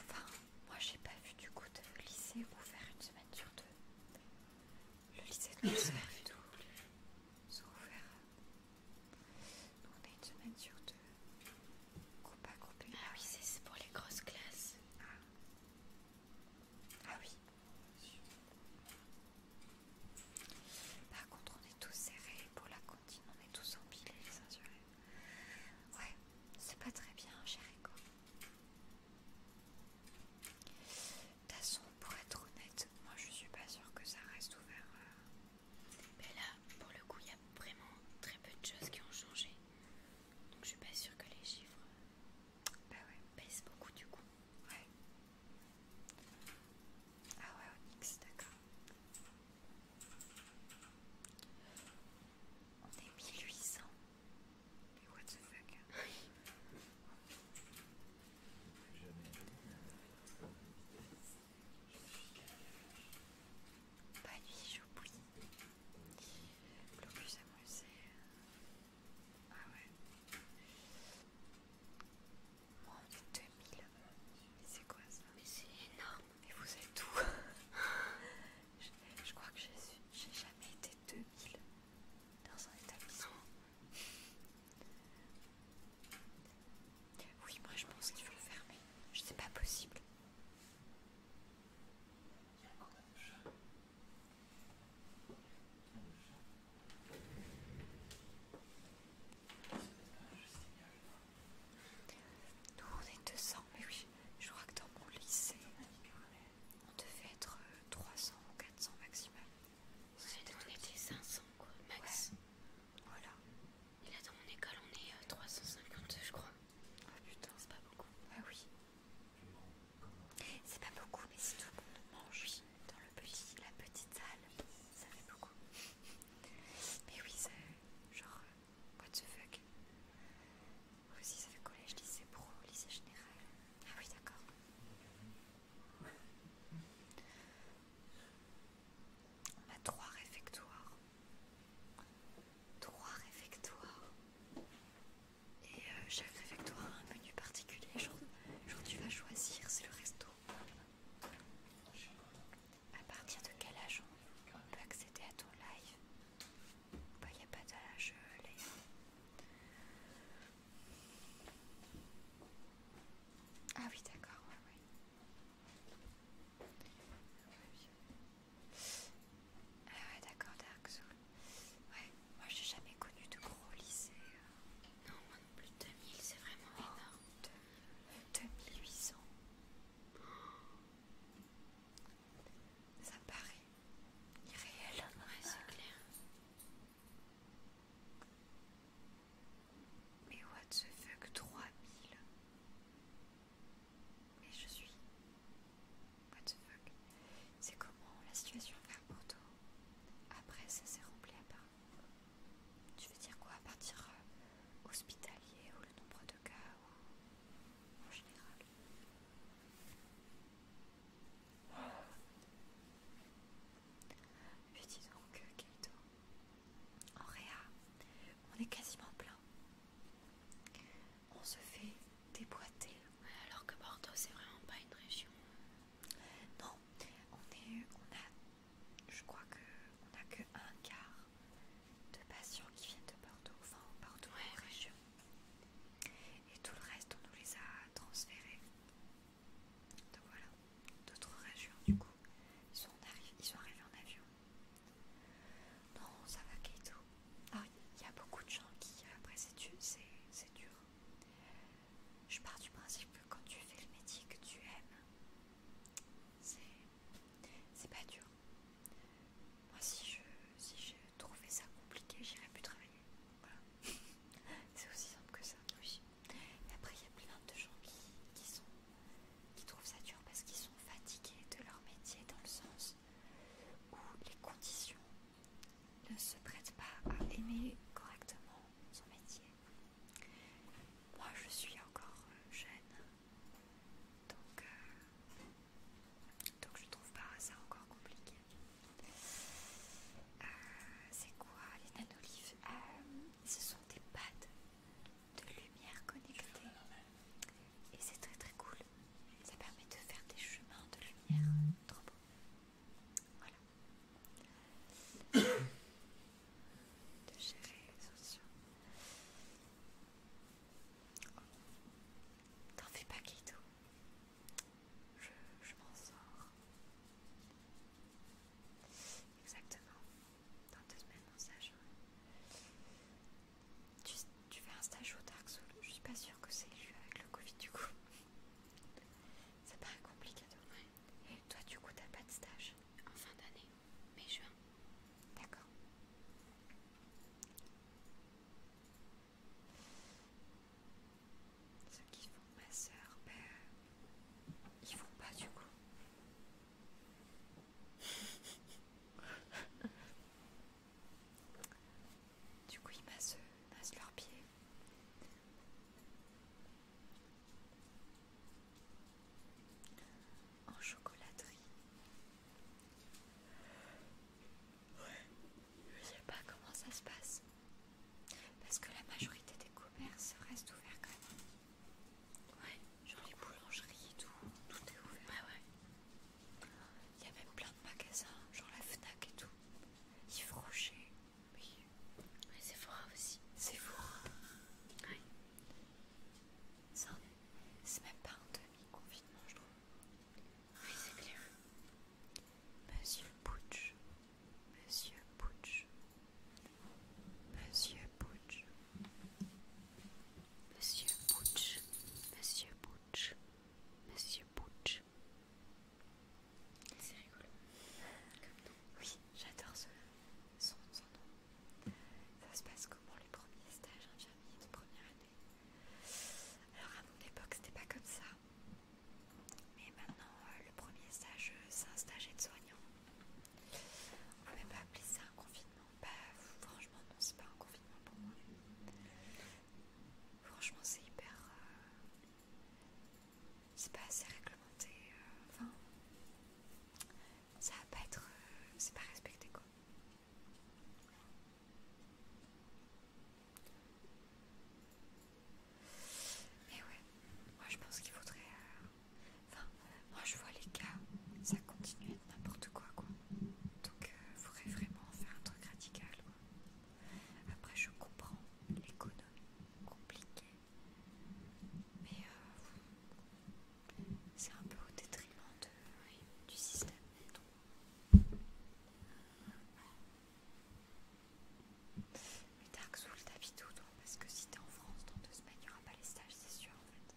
Enfin, moi j'ai pas vu du coup de lycée ouvert une semaine sur deux. Le lycée de mon frère et tout, euh, on est une semaine sur deux. Groupe à groupe. Ah oui, c'est pour les grosses classes. Ah. ah, oui. Par contre, on est tous serrés pour la on est tous empilés les uns Ouais, c'est pas très bien, cher Echo. De toute façon, pour être honnête, moi je suis pas sûre que ça reste ouvert. Euh. Mais là, pour le coup, il y a vraiment très peu de choses qui ont changé. Donc je suis pas sûre que les chiffres euh, bah ouais. baissent beaucoup du coup. Ouais. Ah ouais, Onyx, d'accord. On est 1800. Mais what the fuck Bah hein. nuit, j'oublie. plus amoureux, c'est. Ah ouais. Moi, on est 2000. C'est quoi ça Mais c'est énorme. Mais vous êtes où je, crois que j'ai jamais été 2000 dans un établissement. Oui, moi je pense qu'il faut le fermer. C'est pas possible. Il y a encore un chat. Il y a un chat. C'est pas juste nous, on est 200, mais oui, je crois que dans mon lycée, on devait être 300 euh, ou 400 maximum. on était 500 quoi, max. Voilà. Et là, dans mon école, on est 350, euh, je crois. Ah putain, c'est pas beaucoup. Ah oui. C'est pas beaucoup, mais si tout le monde mange dans le petit, la petite salle, ça fait beaucoup. Mais oui, c'est genre euh, What the fuck Vous aussi, ça fait collège, lycée pro, lycée général. Ah oui, d'accord. On trois réfectoires. Trois réfectoires. Et euh, chaque réfectoire a un menu particulier. Genre, tu vas choisir, c'est le resto. À partir de quel âge on, peut accéder à ton live Il bah, n'y a pas d'âge, euh, Ah oui, d'accord, ouais, ouais. Ah ouais, d'accord, Dark Soul. Ouais, moi j'ai jamais connu de gros lycées. Euh. Non, moi non plus, 2000, c'est vraiment oh, énorme. 2800. Ça paraît irréel. Ouais, c'est euh. clair. Mais what the fuck, 3000 Mais je suis. What the fuck C'est comment la situation va pour toi Après, ça s'est rempli à part. Tu veux dire quoi à partir. Euh, hospitalier ou le nombre de cas en général. Mais oh. dis donc, Kaito, en réa, on est quasiment plein. On se fait déboîter. alors que Bordeaux, c'est vraiment pas une région. Euh. Non, on est, on a, je crois que on a que un quart de patients qui viennent de Bordeaux, enfin Bordeaux en région. Et tout le reste, on nous les a transférés. Donc voilà, d'autres régions du coup. Ils sont, arrivés, en avion. Non, ça va, Kaito. Ah, il y a beaucoup de gens qui, après c'est dur. Je pars du principe que quand tu fais le métier que tu aimes, c'est pas dur. Moi, si je, trouvé ça compliqué, j'irais plus travailler. c'est aussi simple que ça. Oui. après, il y a plein de gens qui, qui trouvent ça dur parce qu'ils sont fatigués de leur métier dans le sens où les conditions ne se prêtent pas à aimer correctement son métier. Moi, je suis encore euh, jeune donc, euh, donc je trouve pas ça encore compliqué. Euh, c'est quoi les nanolives euh, Ce sont des pads de lumière connectées Et c'est très très cool. Ça permet de faire des chemins de lumière. Mm. Trop beau. Voilà. de gérer les T'en fais pas, Kaito. Je, je m'en sors. Exactement. Dans deux semaines, mon stage. Tu, fais un stage au Dark Souls. Je suis pas sûre que c'est élu avec le Covid, du coup. C'est pas compliqué de Et toi, du coup, t'as pas de stage en fin d'année mais juin. D'accord. Ceux qui font ma sœur ben, ils font pas du coup. du coup, ils massent, massent leurs pieds. En chocolaterie, Ouais Je sais pas comment ça se passe. Parce que la majorité des commerces restent ouverts quand même. Ouais, genre les boulangeries et tout, tout est ouvert. Ouais, ouais. Il y a même plein de magasins, genre la Fnac et tout. Yves Rocher, oui. Mais Sephora aussi. Sephora. Ouais. C'est même pas deux oui, c'est clair. Monsieur butch Monsieur butch Monsieur butch Monsieur butch Monsieur butch Monsieur butch C'est rigolo. Comme nous. Oui, j'adore ce son, Ça se passe pour les premiers stages hein, alors à mon époque c'était pas comme ça. Mais maintenant euh, le premier stage euh, c'est un stage de soignant On peut même pas appeler ça un confinement. Bah franchement non c'est pas un confinement pour moi. Franchement c'est hyper... Euh, c'est pas assez réglementé. enfin ça va pas être... c'est pas respecté quoi. Mais ouais, moi je pense qu'il faudrait... Euh, enfin, moi je vois les cas, ça continue à n'importe quoi quoi. Donc il euh, faudrait vraiment faire un truc radical Après je comprends l'économie compliquée. Mais euh, c'est un peu au détriment du système. Mais Dark Souls, t'habites tout toi, parce que si t'es en France, dans deux semaines, il n'y aura pas les stages, c'est sûr en fait.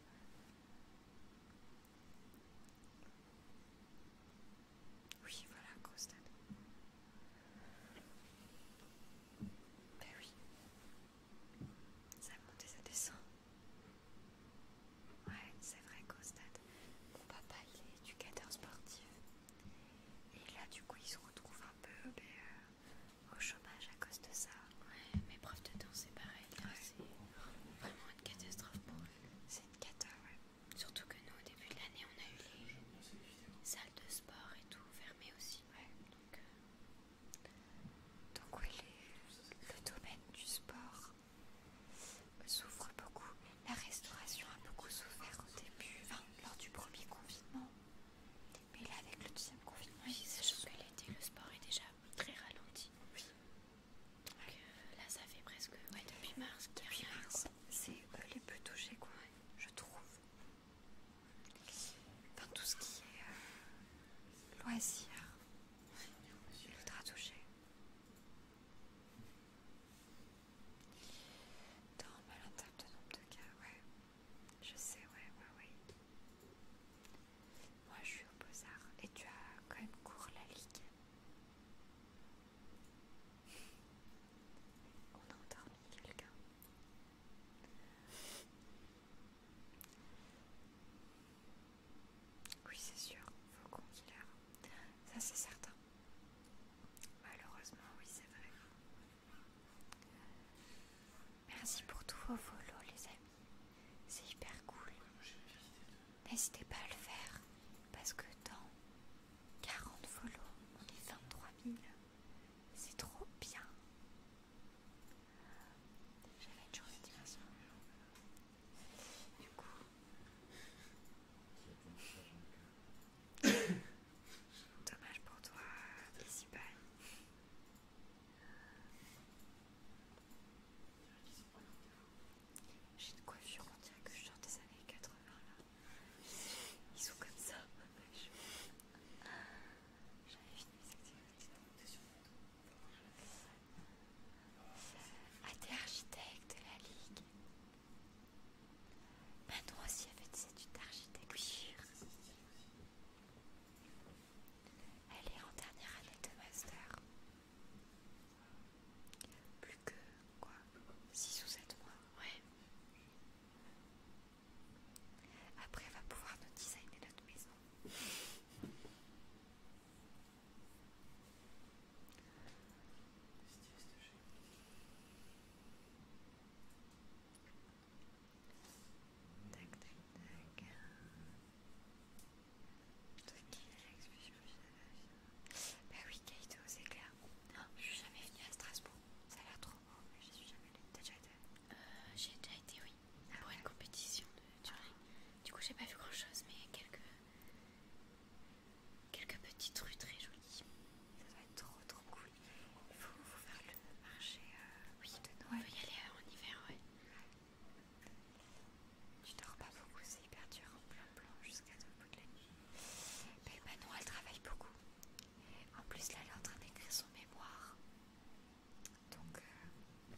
Oui, voilà, Crostad. Ben oui, ça a monté ça descend. Ouais, c'est vrai qu'au stade, mon papa il est éducateur sportif. Et là, du coup, il se retrouve un peu euh, au chômage à cause de ça. Ouais, mes de danse, c'est pareil. C'est vraiment une catastrophe pour eux. C'est une catastrophe, ouais. Surtout que nous, au début de l'année, on a eu les salles de sport et tout fermées aussi. Euh, donc oui, le domaine du sport souffre beaucoup. La restauration a beaucoup souffert au début, lors du premier confinement. Mais là, avec le deuxième confinement, oui, sachant que l'été, le sport est déjà très ralenti. Donc, euh, là, ça fait presque ouais, depuis mars. Depuis mars, c'est euh, les plus touchés, quoi, je trouve. Enfin, tout ce qui est euh, loisirs, il voudra toucher. Normal en malentendu de nombre de cas, ouais. Je sais, ouais, ouais, ouais. Moi je suis au Beaux-Arts et tu as quand même cours la ligue. On a endormi quelqu'un. Oui, c'est sûr, faut Killer. Ça, c'est certain. Malheureusement, oui, c'est vrai. Merci pour tous vos volos les amis. C'est hyper cool. N'hésitez pas à le faire parce que dans 40 volos on est 23 000. C'est trop bien. J'avais une journée de Du coup. Dommage pour toi, ici J'ai une coiffure, on dirait que je suis dans les années 80 là. Ils sont comme ça. J'avais fini mes activités à des architectes de la Ligue. Maintenant aussi avec fait des études d'architecture. Elle est en dernière année de master. Plus que quoi 6 ou 7 mois, Après, elle va pouvoir nous designer notre maison. Tac, tac, tac. qui Bah oui, Kaito, c'est clair. Non, oh, je suis jamais venue à Strasbourg. Ça a l'air trop beau, mais je suis jamais allée. T'as déjà été euh, J'ai déjà été, oui pour une compétition de Turing. Du coup, j'ai pas vu grand chose, mais quelques. quelques petites rues très jolies. Ça doit être trop trop cool. Il faut, faire le marché. Euh, de Noël. On peut y aller euh, en hiver, ouais. Tu dors pas beaucoup, c'est hyper dur en plein blanc jusqu'à tout le bout de la nuit. Mais bah, non, elle travaille beaucoup. En plus, là, elle est en train d'écrire son mémoire. Donc, euh,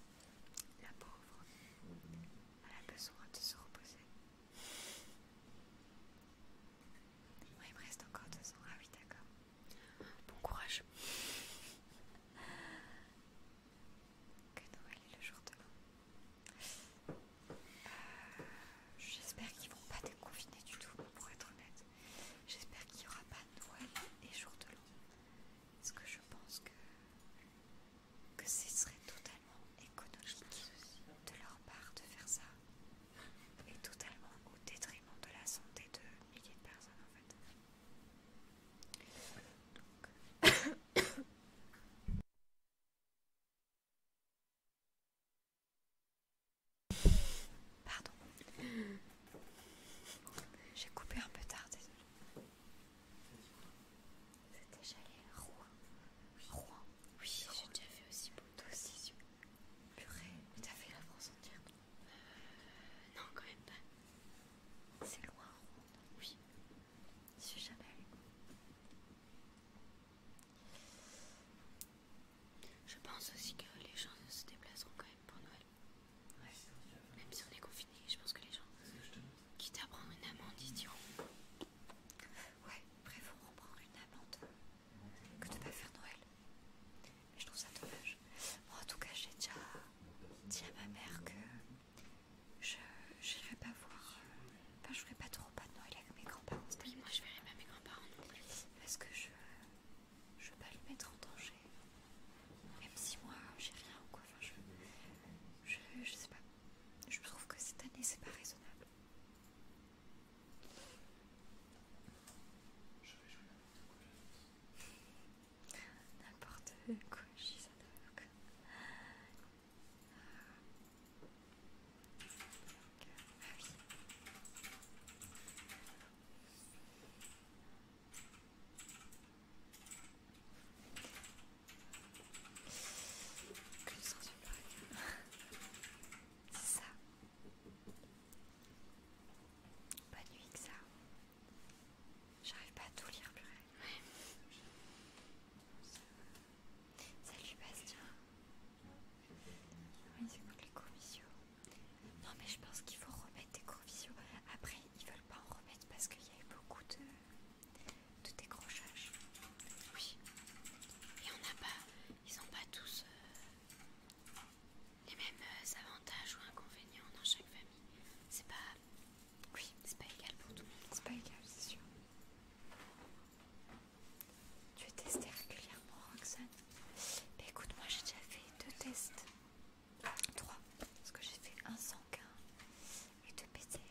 la pauvre, elle a besoin de se reposer. il me reste encore deux ans. Ah oui, d'accord. Bon courage. que Noël est le jour de l'an. Euh, j'espère qu'ils vont pas déconfiner du tout, pour être honnête. J'espère qu'il n'y aura pas Noël et jour de l'an. Parce que je pense que, que ce serait totalement économique de leur part de faire ça. Et totalement au détriment de la santé de milliers de personnes en fait. Pardon. J'ai coupé un peu tard, désolé. C'était j'allais à Rouen. Oui. Rouen. Oui, j'ai déjà fait aussi beaucoup de aussi. Purée, mais as fait la France entière euh, Non, quand même pas. C'est loin, Rouen. Oui. Je suis jamais allé. Je pense aussi que les gens se déplaceront quand même pour Noël. Même si on est confiné, je pense que les gens quitte à prendre une amende, ils diront Ouais, préférons prendre une amende que de pas faire Noël. je trouve ça dommage. en tout cas, j'ai déjà dit à ma mère que je n'irai pas voir. Enfin, je ferai pas trop pas de Noël avec mes grands-parents. moi, je verrai pas mes grands-parents Parce que je. Je veux pas le mettre en danger. Même si moi, j'ai rien ou quoi Enfin, je, je, sais pas. Je trouve que cette année, c'est pas raisonnable. Je vais jouer n'importe quoi. N'importe quoi, je suis ça n'importe quoi. Ah oui. Que C'est ça. Pas nuit que ça. J'arrive pas à tout lire, purée. Salut Bastien. Oui, c'est pour les visuaux Non mais je pense qu'il faut remettre des cours visio. Après, ils veulent pas en remettre parce qu'il y a eu beaucoup de de décrochage. Oui. Et on n'a pas, ils n'ont pas tous euh, les mêmes euh, avantages ou inconvénients dans chaque famille. C'est pas, oui, c'est pas égal pour tout le monde. C'est pas égal, c'est sûr. Tu es tester régulièrement, Roxane. Bah, écoute, moi j'ai déjà fait deux tests 3 parce que j'ai fait un sanguin et deux PCR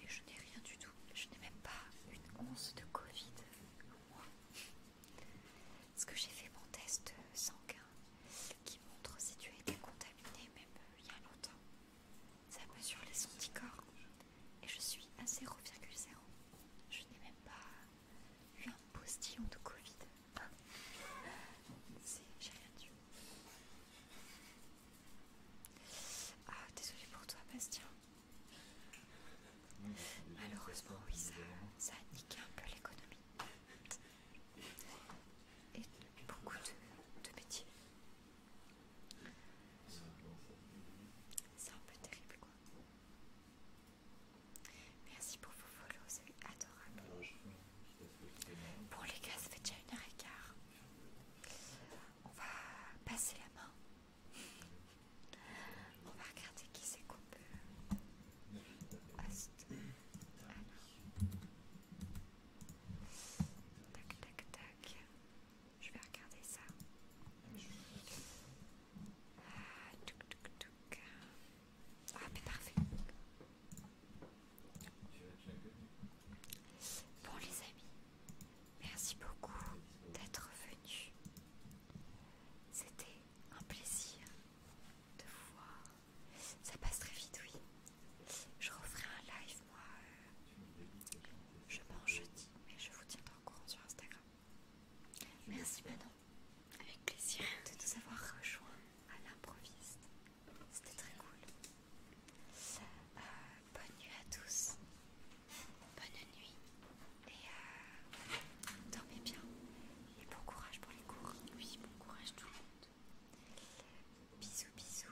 et je n'ai rien du tout, je n'ai même pas une once de Covid moi. Parce que j'ai fait mon test sanguin qui montre si tu as été contaminé même euh, il y a longtemps. Ça mesure les anticorps et je suis à 0,0. Je n'ai même pas eu un postillon de Covid si, j'ai rien dit. Ah, désolé pour toi, Bastien. Malheureusement, oui, ça, a niqué un peu l'économie. Et beaucoup de, métiers. C'est un peu terrible, quoi. Merci pour vos follows, c'est adorable. Bon les gars, ça fait déjà une heure et quart. On va passer la main. On va regarder qui s'est coupé. Host. Tac, tac, tac. Je vais regarder ça. touc, euh, touc, ah, parfait. Bon, les amis, merci beaucoup d'être venus. C'était un plaisir de vous voir. Ça passe très vite, oui. Je referai un live, moi. Euh, je m'en jeudi, mais je vous tiendrai au courant sur Instagram. Merci, Manon. Avec plaisir de nous avoir rejoints à l'improviste. C'était très cool. Euh, bonne nuit à tous. Bonne nuit. Et euh, dormez bien. Et bon courage pour les cours. Oui, bon courage tout le monde. Bisous, bisous.